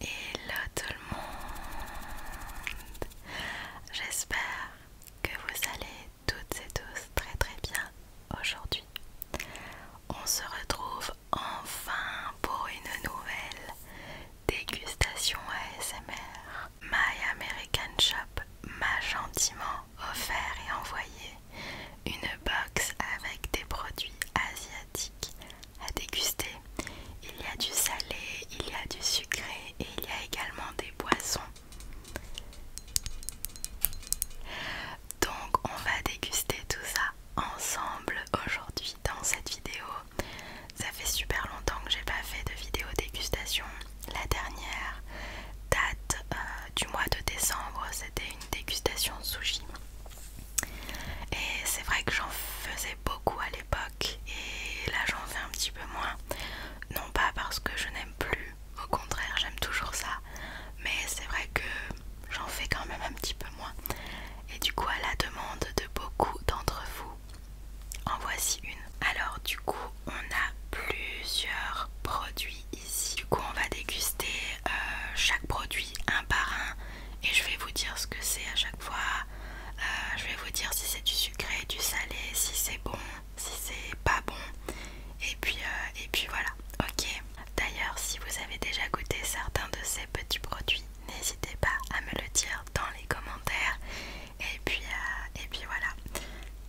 Hello tout le monde J'espère que vous allez toutes et tous très très bien aujourd'hui. On se retrouve enfin pour une nouvelle dégustation ASMR. My American Shop m'a gentiment offert et envoyé une box avec des produits asiatiques à déguster. Il y a du salé, il y a du sucré et il y a également des boissons. Donc on va déguster tout ça ensemble aujourd'hui dans cette vidéo. Ça fait super longtemps que j'ai pas fait de vidéo dégustation. La dernière date euh, du mois de décembre, c'était une dégustation sushi. Et c'est vrai que j'en faisais beaucoup à l'époque et là j'en fais un petit peu moins. Non pas parce que je n'aime plus, au contraire j'aime toujours ça, mais c'est vrai que j'en fais quand même un petit peu moins. Et du coup à la demande de beaucoup d'entre vous, en voici une. Alors du coup on a plusieurs produits ici. Du coup, on va déguster euh, chaque produit un par un et je vais vous dire ce que c'est à chaque fois. Euh, je vais vous dire si c'est du sucré, du salé, si c'est bon, si c'est pas bon. Et puis, euh, et puis voilà, ok. D'ailleurs, si vous avez déjà goûté certains de ces petits produits, n'hésitez pas à me le dire dans les commentaires. Et puis, et puis voilà.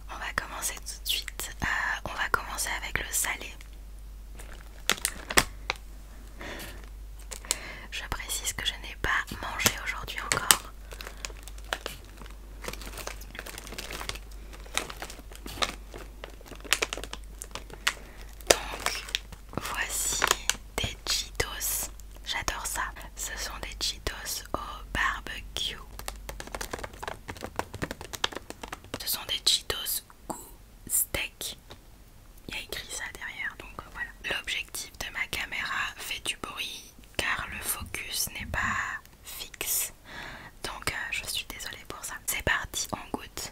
On va commencer tout de suite. Euh, on va commencer avec le salé. Je précise que je n'ai pas mangé aujourd'hui encore. Donc voici des Cheetos. J'adore ça. Ce sont des Cheetos au barbecue. Ce sont des Cheetos goût steak. Il y a écrit ça derrière, donc voilà. L'objectif de ma caméra fait du bruit car le focus n'est pas fixe. Donc euh, je suis désolée pour ça. C'est parti, en goutte.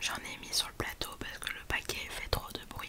J'en ai mis sur le plateau parce que le paquet fait trop de bruit.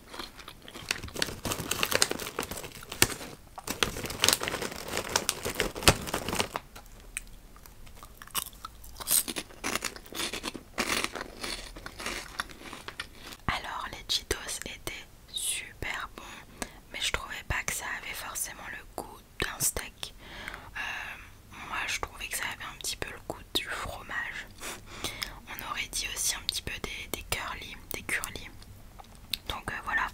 Alors les Cheetos étaient super bons, mais je trouvais pas que ça avait forcément le goût d'un steak. Euh, moi je trouvais que ça avait un petit peu le goût du fromage. On aurait dit aussi un petit peu des, des des curly donc euh, voilà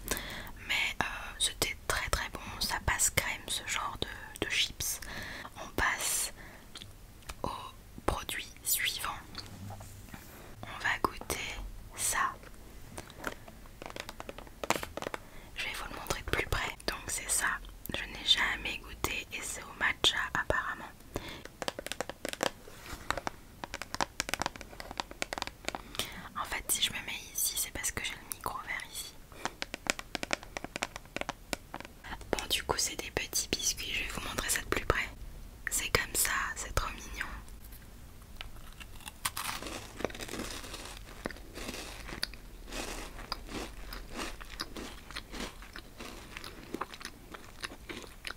mais euh, c'était très très bon ça passe crème ce genre de chips on passe au produit suivant on va goûter ça je vais vous le montrer de plus près donc c'est ça je n'ai jamais goûté et c'est au matcha apparemment en fait, si je me mets ici, c'est parce que j'ai le micro vert ici. Bon, du coup, c'est des petits biscuits. Je vais vous montrer ça de plus près. C'est comme ça, c'est trop mignon.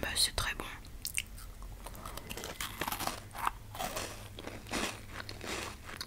Bah, c'est très bon.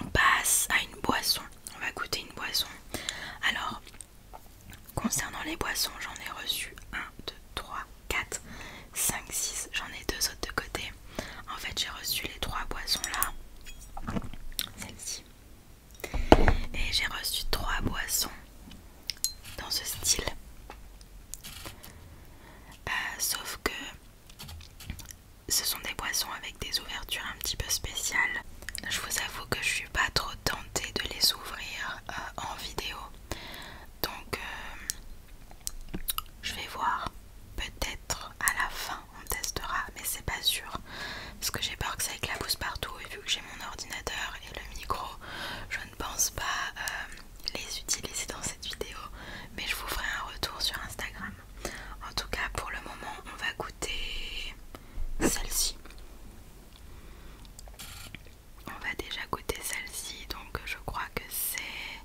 On passe à une boisson. On va goûter une boisson. Alors, concernant les boissons, j'en ai reçu 1, 2, 3, 4, 5, 6. J'en ai deux autres de côté. En fait, j'ai reçu les trois boissons là. Celle-ci. Et j'ai reçu trois boissons dans ce style. Euh, sauf que ce sont des boissons avec des ouvertures un petit peu spéciales. Je vous avoue que je suis pas trop tentée de les ouvrir euh, en vidéo. Donc euh, je vais voir. Peut-être à la fin on testera, mais c'est pas sûr. Parce que j'ai peur que ça éclabousse partout et vu que j'ai mon ordinateur et le micro, je ne pense pas euh, les utiliser dans cette vidéo, mais je vous ferai un retour sur Instagram. En tout cas, pour le moment, on va goûter celle-ci. On va déjà goûter celle-ci, donc je crois que c'est...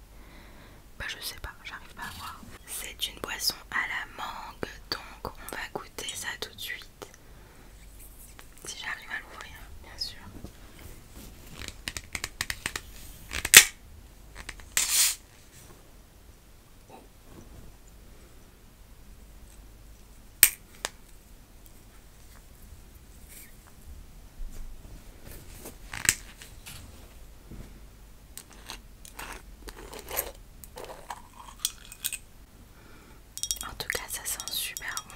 Bah je sais pas, j'arrive pas à voir. C'est une boisson à la mangue, donc on va goûter ça tout de suite. Si j'arrive à l'ouvrir, bien sûr. En tout cas, ça sent super bon.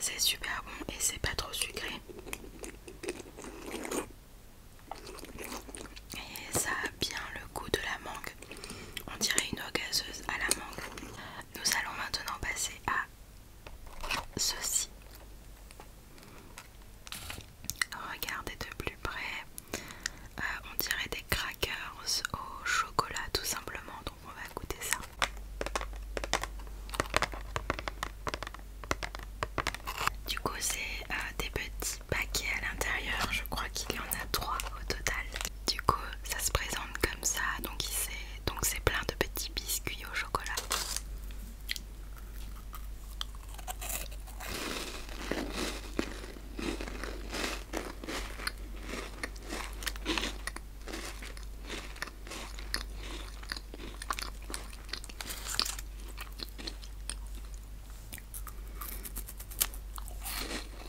C'est super bon et c'est pas trop sucré. Et ça a bien le goût de la mangue. On dirait une eau gazeuse à la mangue. Nous allons maintenant passer à ceci. Regardez de plus près. Euh, on dirait des crackers au chocolat tout simplement. Donc on va goûter ça. Du coup c'est euh, des petits paquets à l'intérieur. Je crois qu'il y en a trois au total. Du coup, ça se présente comme ça, donc c'est plein de petits biscuits au chocolat.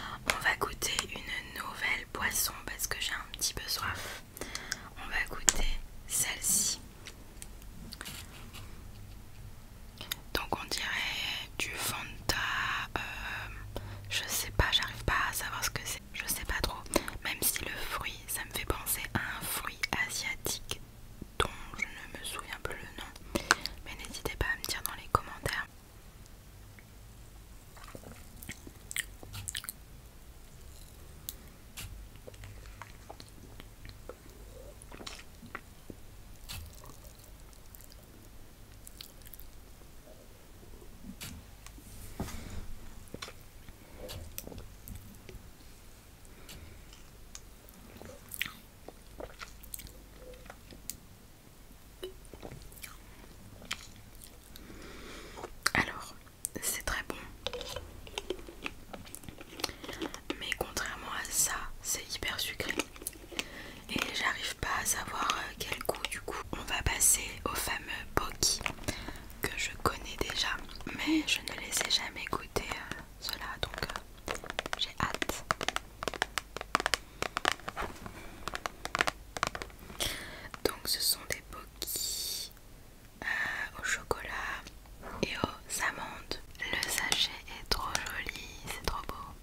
On va goûter une nouvelle boisson parce que j'ai un petit peu soif. On va goûter celle-ci. Donc on dirait du Fanta, euh, je sais pas, j'arrive pas à savoir ce que c'est, je sais pas trop. Même si le fruit, ça me fait penser à un fruit asiatique dont je ne me souviens plus le nom, mais n'hésitez pas à me dire dans les commentaires. Alors, c'est très bon. Mais contrairement à ça, c'est hyper sucré. Et j'arrive pas à savoir euh, quel goût du coup. On va passer au fameux Boki que je connais déjà. Mais je ne les ai jamais goûtés euh cela donc euh, j'ai hâte. Donc ce sont des bokis euh, au chocolat et aux amandes. Le sachet est trop joli, c'est trop beau.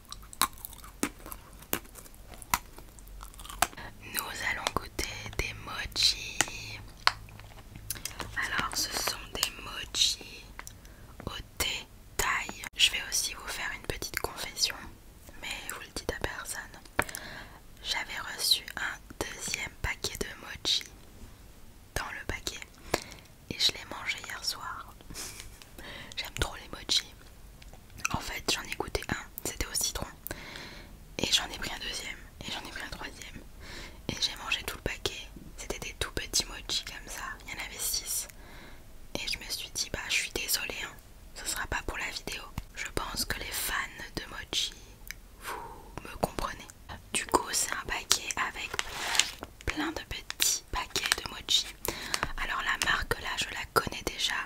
Nous allons goûter des mochi. Alors, ce sont des mochi au thé taille. Je vais aussi vous faire une petite confession, mais vous le dites à personne. J'avais reçu un deuxième paquet de mochi dans le paquet et je l'ai mangé hier soir. J'aime trop les mochi. En fait, j'en ai goûté un, c'était au citron. Et j'en ai pris un deuxième, et j'en ai pris un troisième. Et j'ai mangé tout le paquet. C'était des tout petits mochi comme ça, il y en avait 6. Et je me suis dit, bah je suis désolée, hein. ce sera pas pour la vidéo. Je pense que les fans de mochi, vous me comprenez. Du coup, c'est un paquet avec plein de petits paquets de mochi. Alors la marque là, je la connais déjà,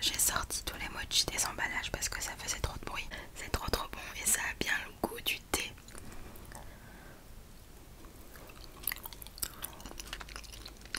J'ai sorti tous les mochis des emballages parce que ça faisait trop de bruit. C'est trop trop bon et ça a bien le goût du thé.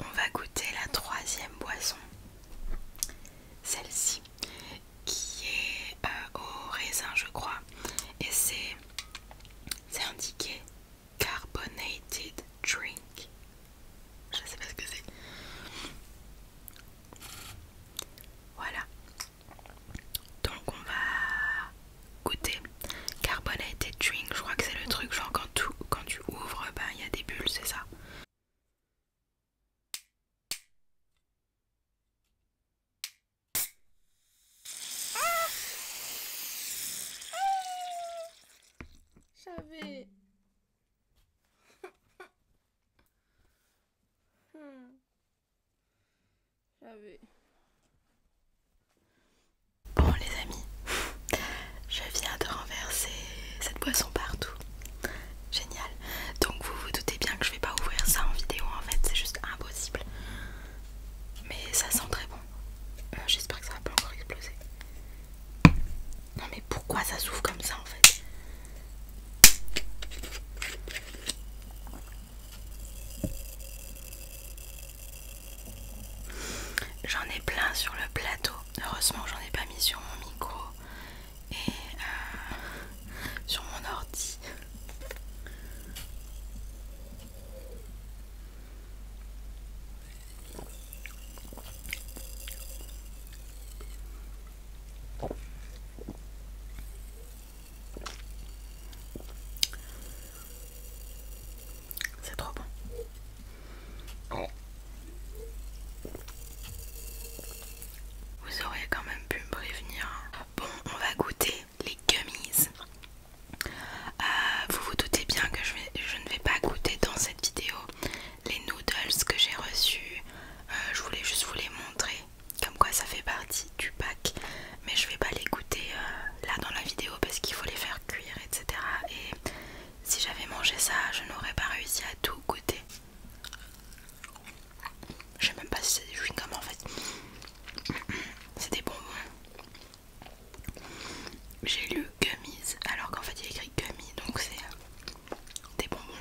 On va goûter la troisième boisson celle-ci qui est euh, au raisin, je crois, et c'est indiqué carbonated drink. Je sais pas ce que c'est. Voilà. Donc on va goûter carbonated drink. Je crois que c'est le truc genre quand, quand tu ouvres, ben, il y a des bulles, c'est ça. J'avais... Hmm. J'avais... Bon les amis, je viens de renverser cette boisson partout. Génial. Donc vous vous doutez bien que je vais pas ouvrir ça en vidéo en fait, c'est juste impossible. Mais ça sent très bon. Euh, j'espère que ça va pas encore exploser. Non mais pourquoi ça s'ouvre comme ça en fait J'en ai plein sur le plateau. Heureusement, j'en ai pas mis sur mon micro et euh, sur mon ordi. C'est trop bon. Vous aurez quand même pu me prévenir. Hein. Bon, on va goûter les gummies. Euh, vous vous doutez bien que je, ne vais pas goûter dans cette vidéo les noodles que j'ai reçus. Euh, je voulais juste vous les montrer, comme quoi ça fait partie du pack. Mais je vais pas les goûter euh, là dans la vidéo parce qu'il faut les faire cuire, etc. Et si j'avais mangé ça, je n'aurais pas réussi à tout goûter. Je sais même pas si c'est des chewing-gums en fait. C'est des bonbons. J'ai lu gummies alors qu'en fait il écrit gummy donc c'est euh, des bonbons.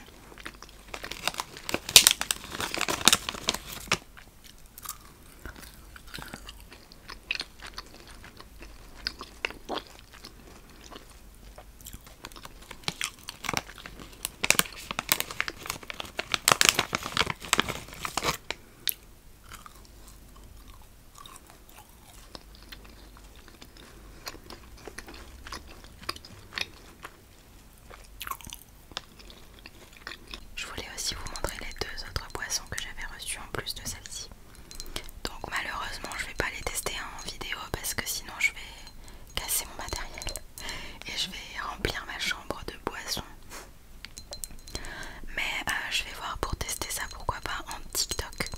Je voulais aussi vous montrer les deux autres boissons que j'avais reçues en plus de celle-ci. Donc malheureusement je vais pas les tester en vidéo parce que sinon je vais casser mon matériel et je vais remplir ma chambre de boissons. Mais euh, je vais voir pour tester ça pourquoi pas en TikTok.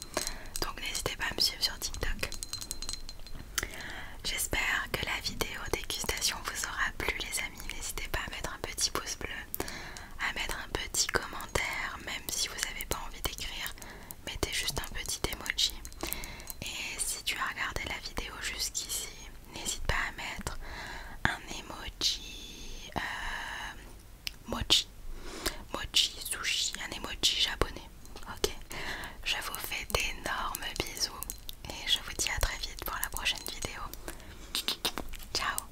Donc n'hésitez pas à me suivre sur TikTok. J'espère que la vidéo dégustation vous aura plu les amis. N'hésitez pas à mettre un petit pouce bleu à mettre un petit commentaire, même si vous n'avez pas envie d'écrire, mettez juste un petit emoji. Et si tu as regardé la vidéo jusqu'ici, n'hésite pas à mettre un emoji euh, mochi, mochi sushi, un emoji japonais. Ok, je vous fais d'énormes bisous et je vous dis à très vite pour la prochaine vidéo. Ciao